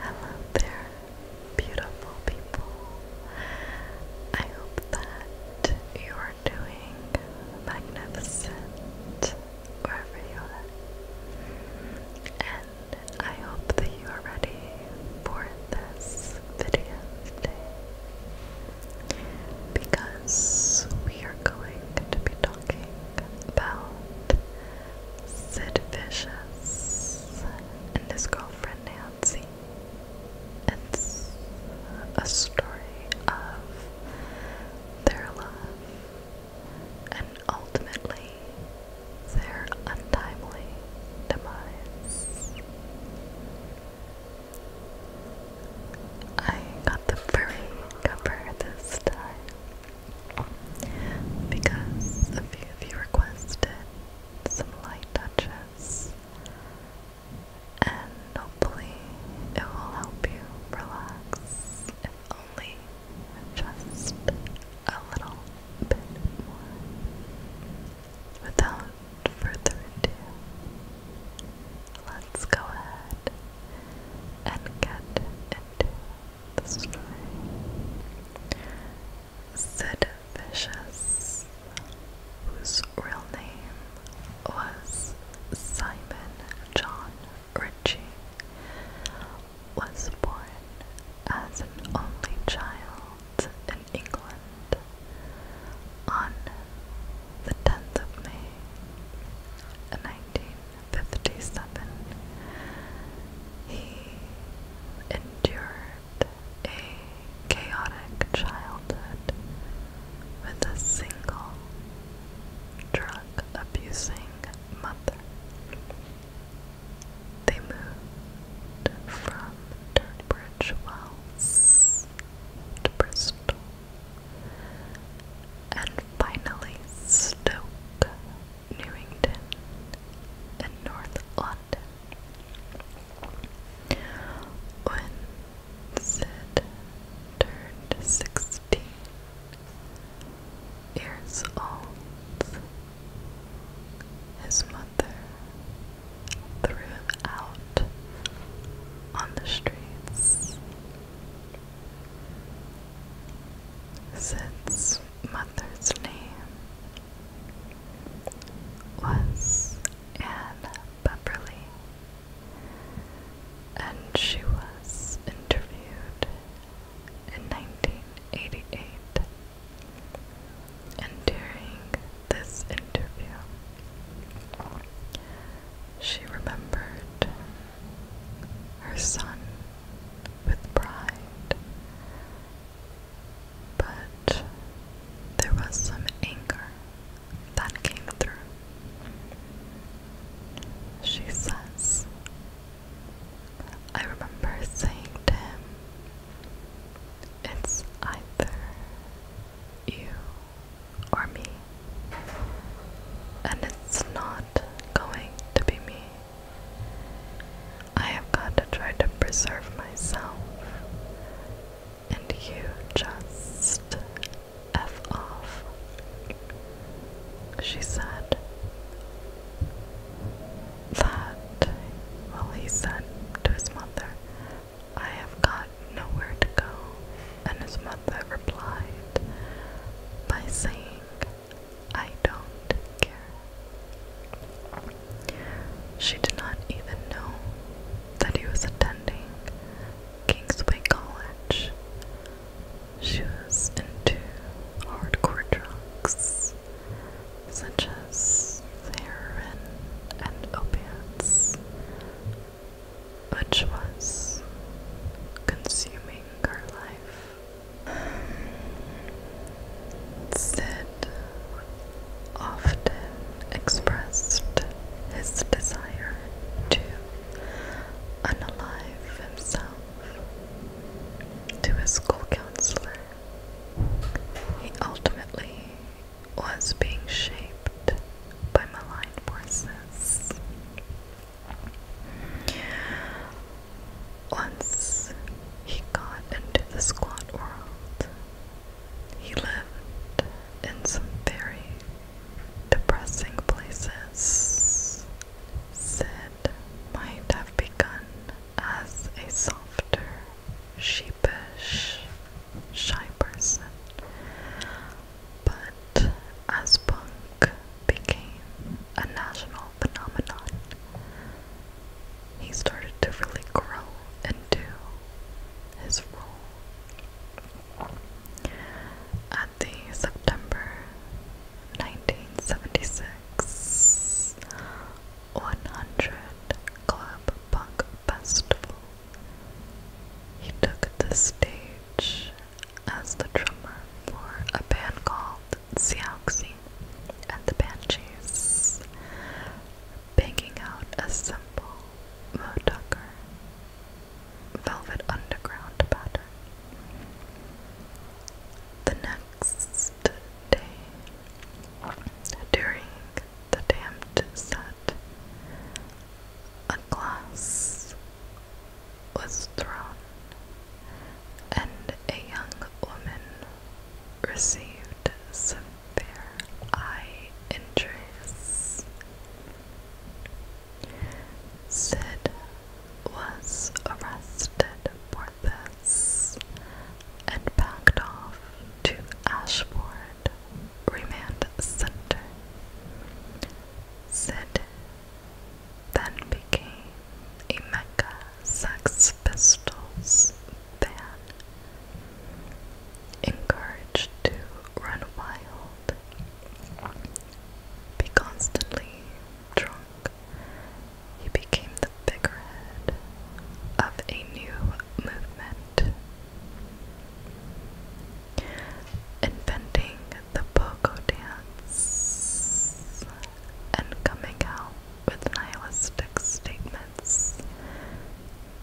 Hello there, beautiful people. I hope that you are doing magnificent wherever you are. And I hope that you are ready for this video today because we are going to be talking about Sid Vicious and his girlfriend Nancy. It's a story of their love and ultimately their untimely demise. I got the furry cover this time because a few of you requested some light touches, and hopefully it will help you relax, if only just a little bit more. Without further ado, let's go ahead and get into the story. Sid Vicious, whose real name was Simon John Ritchie, was born as an only child in England on the 10th of May, 19 57, he endured a chaotic childhood with a single drug abusing mother. They moved from Dirtbridge Wells to Bristol and finally Stoke Newington, and North London. When Sid turned sixteen years old, his mother threw him out on the streets. Sid's mother's name was Anne Pepperly, and she was interviewed in 1988. And during this interview, she remembered her son with pride. But there was some anger that came through. She says, I remember saying to him, It's either you or me, and it's not going to be me. I have got to try to preserve myself, and you just F off, she said. That, well, he said to his mother, I have got nowhere to go, and his mother replied by saying, I don't care. She did not even know that he was attending Kingsway College. She was into hardcore drugs such as heroin and opiates, which was consuming her life. Um, Sid often expressed his desire to unalive himself to his school counselor. He ultimately was being shaped by malign forces. Once he got into the squat world, he lived in some very depressing places. Sid might have begun as a softer, sheepish, shy person, but as punk became a national phenomenon. He started to really grow into his role. At the September 1976 100 Club Punk Festival, he took the stage as the drummer for a band called Siouxsie and the Banshees, banging out a simple moody, Tucker Velvet Underground pattern. The next day, during the damned set, a glass was thrown, and a young woman received severe eye injuries. Sid was arrested for this and packed off to Ashford Remand Center. Sid then became a mecca Sex Pistols fan, encouraged to run wild, be constantly drunk. He became the figurehead of a new movement. Inventing the pogo dance and coming out with nihilistic statements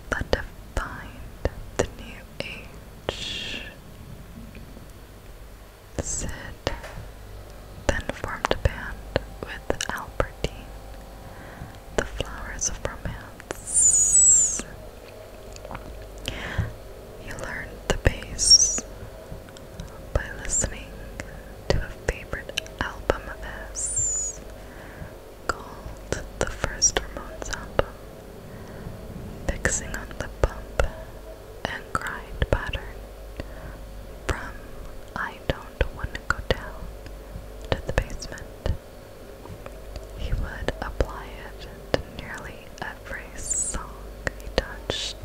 that defined the new age. Sid then formed a band with Albertine, the Flowers of Romance. He learned the bass by listening to a favorite album of his called the first Ramones album, Fixing on the Bump and Grind Pattern from I Don't Wanna Go Down to the Basement. He would apply it to nearly every song he touched.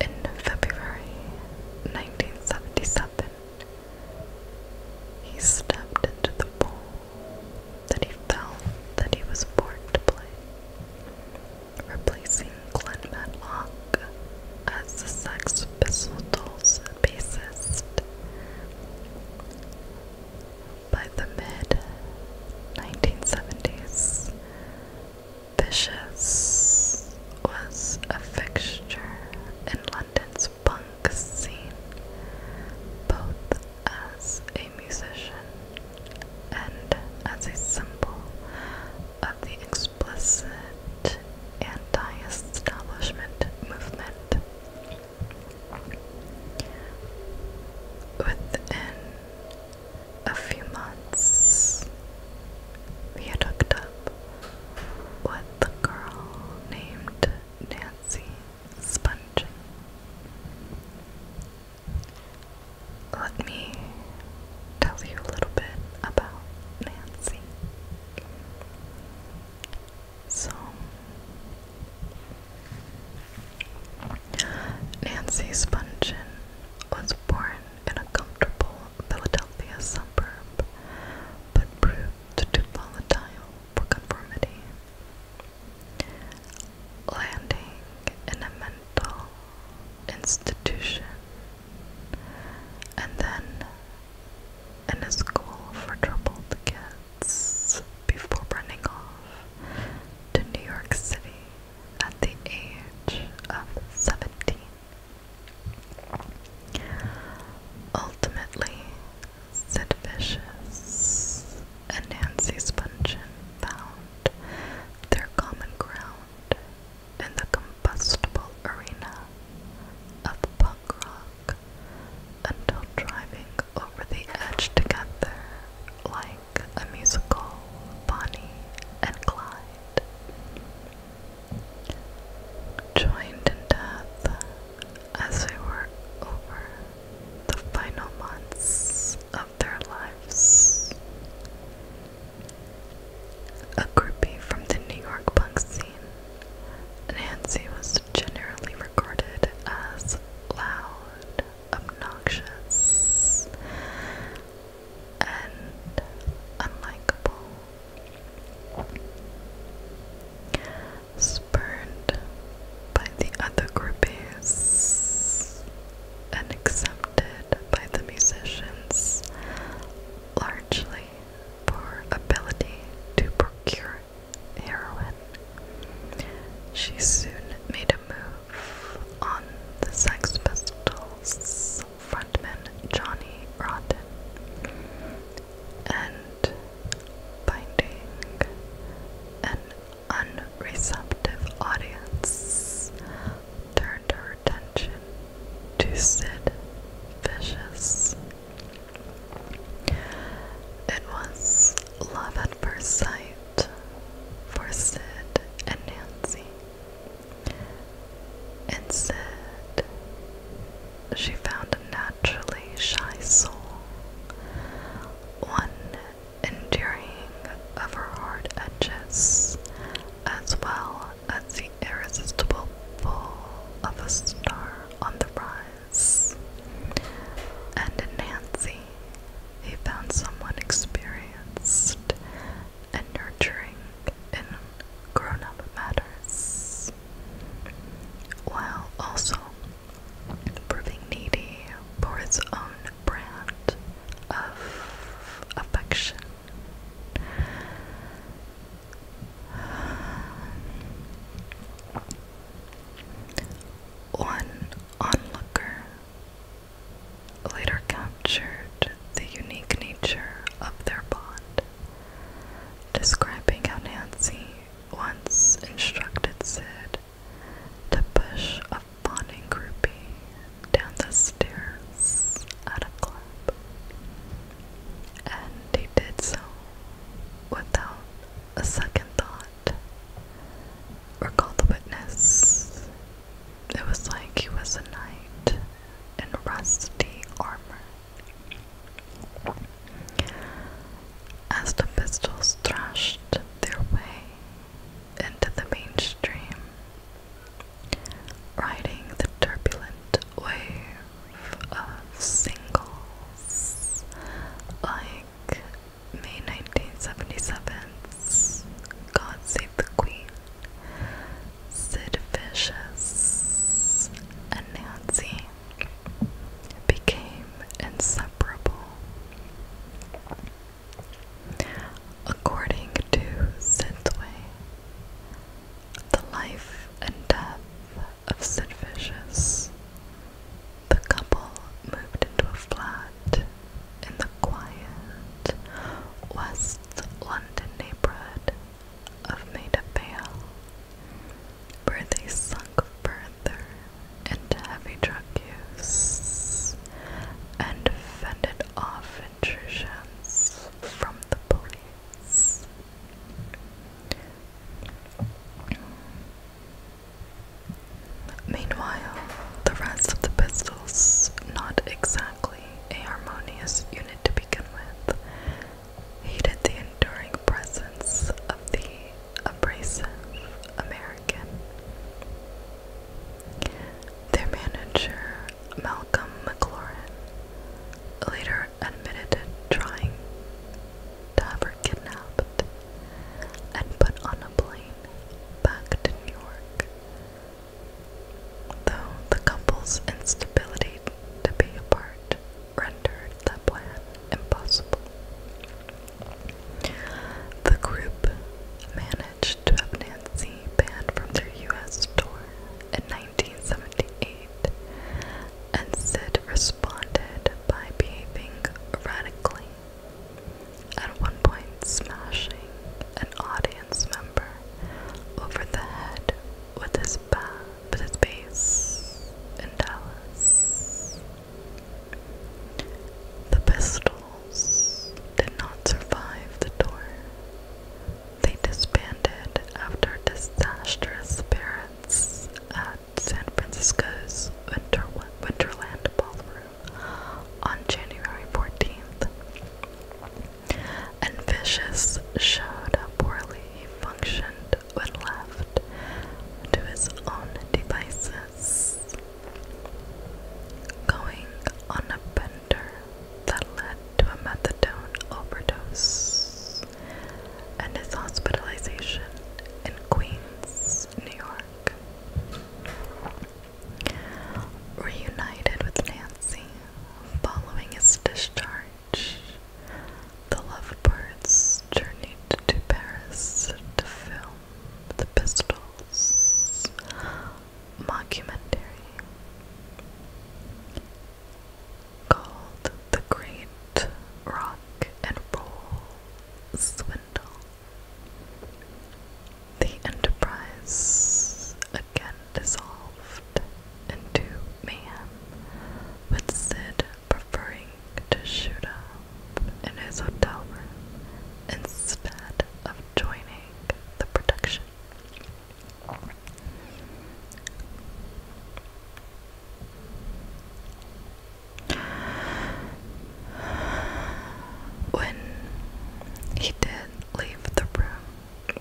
In February 1977, he stepped into the role that he felt that he was born to play, replacing Glenn Matlock as the Sex Pistols bassist. By the mid 1970s, Vicious was a fixture in London's punk scene, both as a musician and as a symbol of the explicit anti-establishment movement. Within a few months, we had hooked up with the girl named Nancy Sponge. Let me tell you a little bit about Nancy. So, Nancy Spungen was born in a comfortable Philadelphia suburb, but proved too volatile for conformity, landing in a mental institution and then in a school for troubled kids before running off to New York City at the age of 17. Ultimately, Sid Vicious and Nancy Spungen found their common ground in the combustible arena of punk rock until driving over the edge together like a musical Bonnie and Clyde. Joined in death as they were over the final months of their lives. A groupie from the New York punk scene, Nancy was generally regarded as loud, obnoxious, and unlikable. Spurned by the other groupies and accepted by the musicians, largely for ability to procure heroin. She soon made a move on the Sex Pistols frontman Johnny Rotten and finding an unreceptive audience turned her attention to Sid Vicious. It was love at first sight for Sid and Nancy. And Sid, she found a naturally shy soul, one enduring of her hard edges as well as irresistible pull of a star on the rise. And in Nancy, he found someone experienced and nurturing in grown up matters, while also proving needy for its own brand of affection. One onlooker later captured the unique nature of their bond, describing how Nancy once instructed Sid to push a fawning groupie down the stairs at a club and he did so without a second thought. Recall the witness. It was like he was a knight in rusty armor. As the pistols thrashed their way into the mainstream, riding the turbulent wave of singles like May 1977's God Save the Queen, Sid Vicious, and Nancy became inseparable. According to Synthwave, the life and death of Sid Vicious. The couple moved into a flat in the quiet West London neighborhood of Maida Vale, where they sunk further into heavy drug use and fended off intrusions from the police. Meanwhile, the rest of the pistols, not exactly a harmonious unit to begin with, hated the enduring presence of the abrasive American. Their manager Malcolm McLaurin later admitted trying to have her kidnapped and put on a plane back to New York. Though the couple's instability to be apart rendered that plan impossible. The group managed to have Nancy banned from their US tour in 1978, and Sid responded by behaving radically, at one point smashing an audience member over the head with his, bass with in Dallas. The pistols did not survive the tour, they disbanded after disastrous parents at San Francisco's Winterland Ballroom on January 14th. And Vicious showed how poorly functioned when left to his own devices. Going on a bender that led to a methadone overdose and his hospitalization in Queens, New York. Reunited with Nancy following his discharge, the lovebirds journeyed to Paris to film the Pistols mockumentary called the Great Rock and Roll Swindle. The enterprise again dissolved into mayhem, with Sid preferring to shoot up in his hotel room instead of joining the production. When he did leave the room,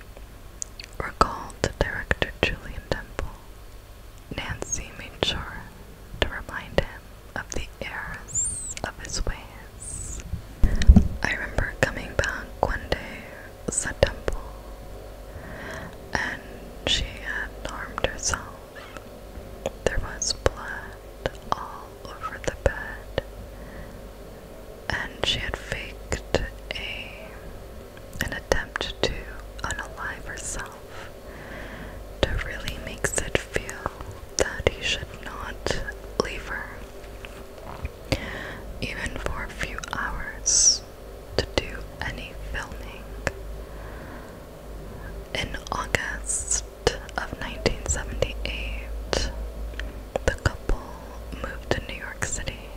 recalled director Julian Temple, Nancy made sure to remind him of the errors of his ways. I remember coming back one day September, and she had harmed herself. There was blood all over the bed, and she had faked a an attempt to unalive herself to really makes it feel that he should not leave her even for a few hours, to do any filming. In August of 1978, the couple moved to New York City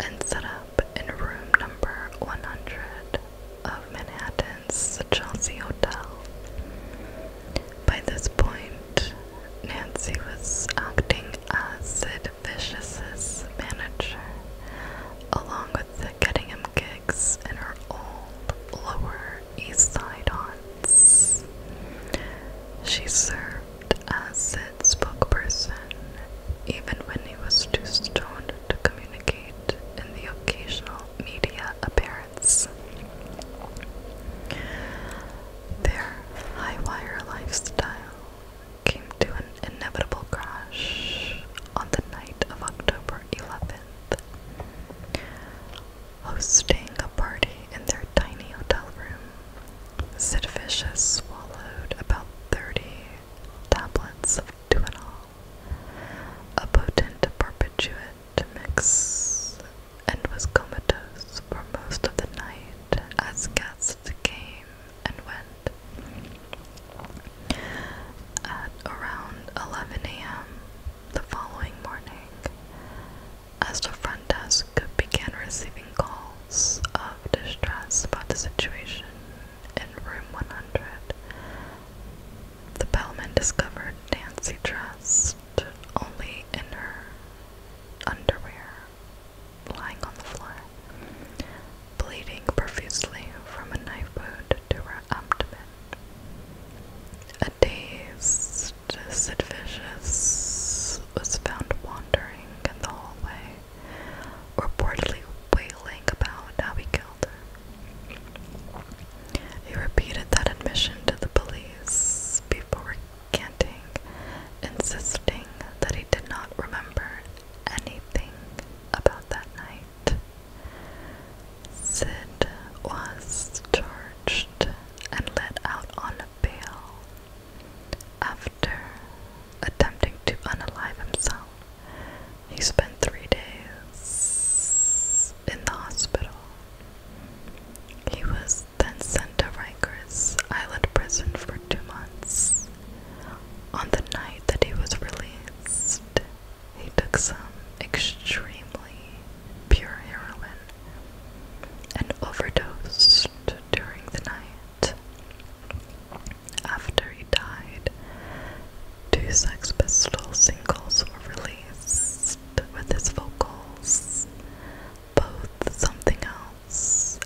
and set up in room number 100 of Manhattan's Chelsea Hotel. By this point, Nancy was acting as Sid Vicious's manager, along with getting him gigs in her old Lower East Side haunts. She served as Sid's spokesperson, even when he was too stoned to communicate in the occasional media appearance. Their high wire lifestyle came to an inevitable crash on the night of October 11th. Hosting a party in their tiny hotel room, Sid swallowed about 30 tablets of Tuinol, a potent barbiturate mix, and was comatose for most of the night as guests came and went. At around 11 a.m. the following morning, as the front desk began receiving calls of distress about the situation in room 100, the bellman discovered Nancy dressed only in her underwear lying on the floor, bleeding profusely from a knife wound to her abdomen. A dazed Sid was found wandering in the hallway, reportedly wailing about how he killed her. He repeated that admission to the police before canting, insisting that he did not remember anything about that night. Sid was charged and let out on bail after attempting to unalive himself. He spent three days in the hospital. He was then sent to Rikers Island Prison for two months. On the night that he was released, he took some extremely pure heroin and overdosed during the night. After he died, two Sex Pistols singles were released with his vocals, both Something else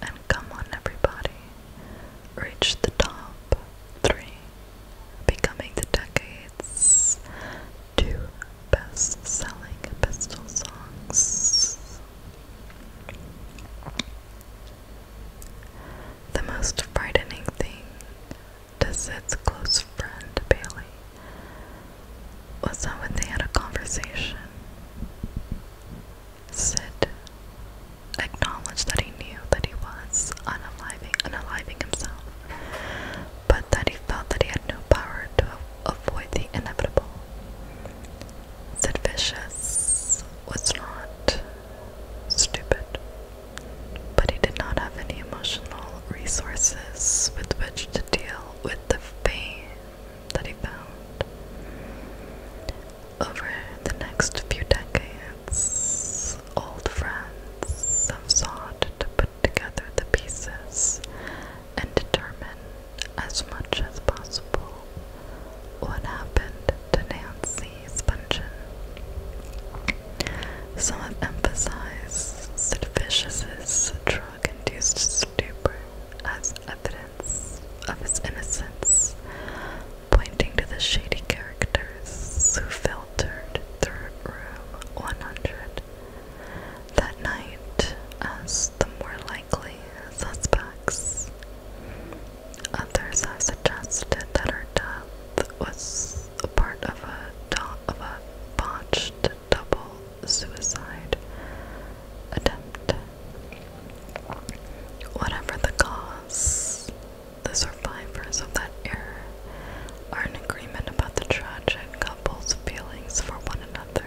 and come on, everybody. Reach the top three, becoming the decade's two best selling pistol songs. The most frightening thing to Sid's close friend Bailey was that when they had a conversation, Sid acknowledged that he knew that he was unaliving, unaliving himself, but that he felt that he had no power to avoid the inevitable. Sid Vicious was not stupid, but he did not have any emotional resources with which to deal with the pain that he found. Over the next few decades, old friends have sought to put together the pieces and determine as much as possible what happened to Nancy Spungen. Some emphasize emphasized Sid Vicious's drug induced stupor as evidence of his innocence, pointing to the shady characters who filtered through room 100. That night, as the more likely suspects, others have suggested that her death was part of a, of a botched double suicide attempt. Whatever the cause, the survivors of that error are in agreement about the tragic couple's feelings for one another.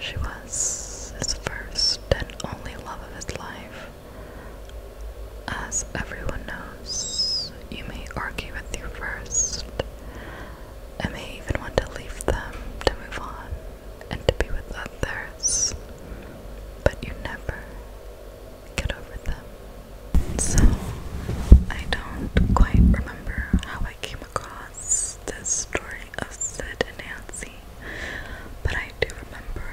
She was his first and only love of his life. As everyone knows, you may argue with you first. I may even want to leave them to move on and to be with others, but you never get over them. So, I don't quite remember how I came across this story of Sid and Nancy, but I do remember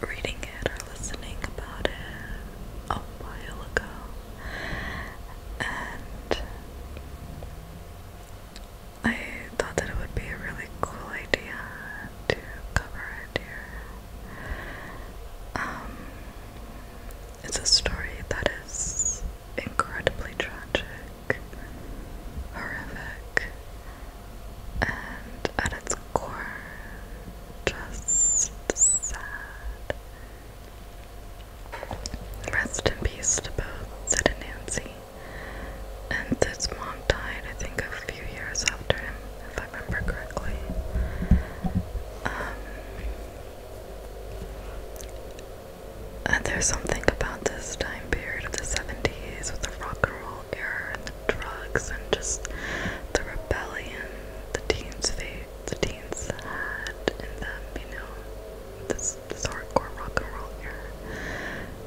reading it or listening about it a while ago. And I thought that it would be a really cool idea to cover it here. Um, it's a story that is incredibly tragic, horrific, and at its core, just sad. Rest in peace to both, said Nancy. And this mom died, I think, a few years after him, if I remember correctly. Um, and there's something about this time period of the 70s with the rock and roll era and the drugs and just the rebellion the teens, the teens had in them, you know, this hardcore rock and roll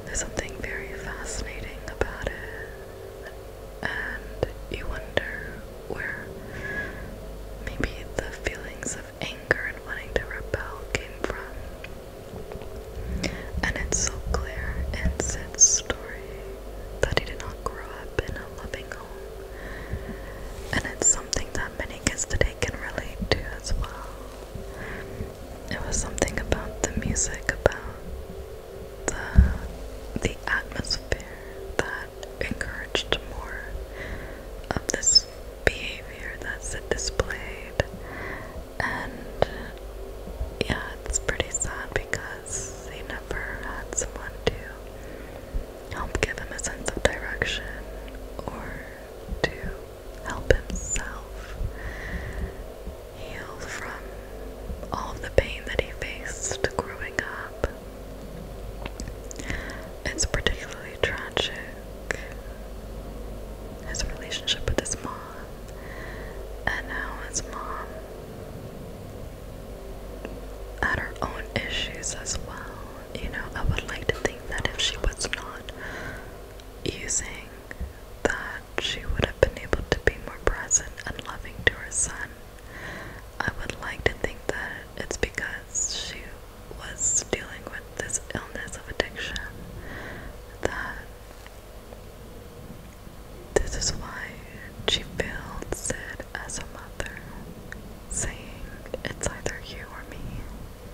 There's something very fascinating about it, and you wonder where maybe the feelings of anger and wanting to rebel came from. And it's so clear in Sid's story that he did not grow up in a loving home. And it's something that many kids today can relate to as well. It was something about the music, about the the atmosphere that encouraged more of this behavior that's displayed. And yeah, it's pretty sad because he never had someone to help give him a sense of direction or to help himself heal from all of the pain that he faced growing up. It's particularly tragic his relationship with his mom, and now his mom had her own issues as well you know, I would like to think that if she was not using that, she would have been able to be more present and loving to her son. I would like to think that it's because she was dealing with this illness of addiction that this is why she failed Sid as a mother, saying it's either you or me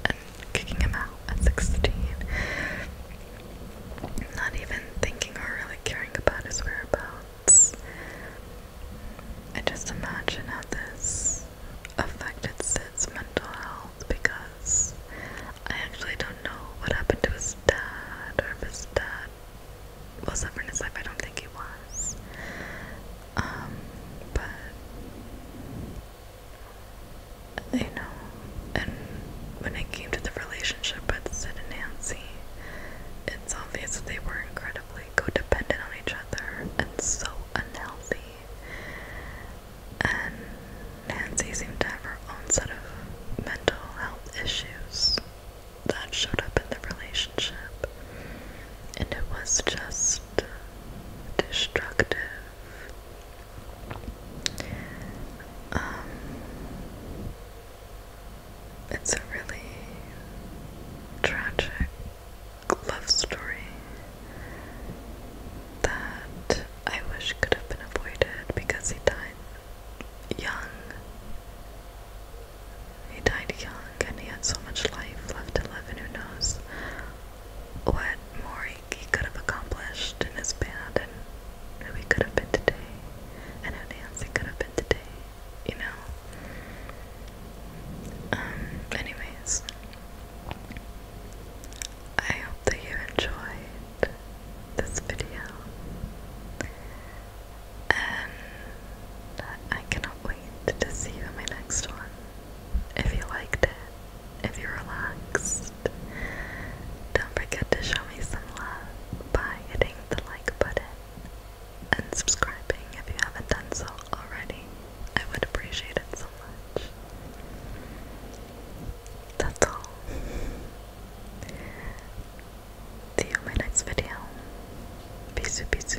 and kicking him out at 16. Not even thinking or really caring about his whereabouts. I just imagine how this affected Sid's mental health because I actually don't know what happened to his dad or if his dad was suffering his life. I don't think he was. Um, but you know, and when it came to the relationship with Sid and Nancy, it's obvious that they were incredibly codependent on each other and so unhealthy. And Nancy seemed to have her own set of mental health issues that showed up in the relationship. And it was just destructive. Um, it's a really tragic love story that I wish could have been avoided because he died young. He died young and he had so much life left to live, and who knows what more he could have accomplished in his band and who he could have been today and who Nancy could have been today, you know? Um, anyways, I hope that you enjoyed this video and I cannot wait to see you in my next one if you liked it, if you relaxed. Don't forget to show me some love by hitting the like button and subscribing if you haven't done so already. I would appreciate it so much. That's all. See you in my next video. Peace, peace.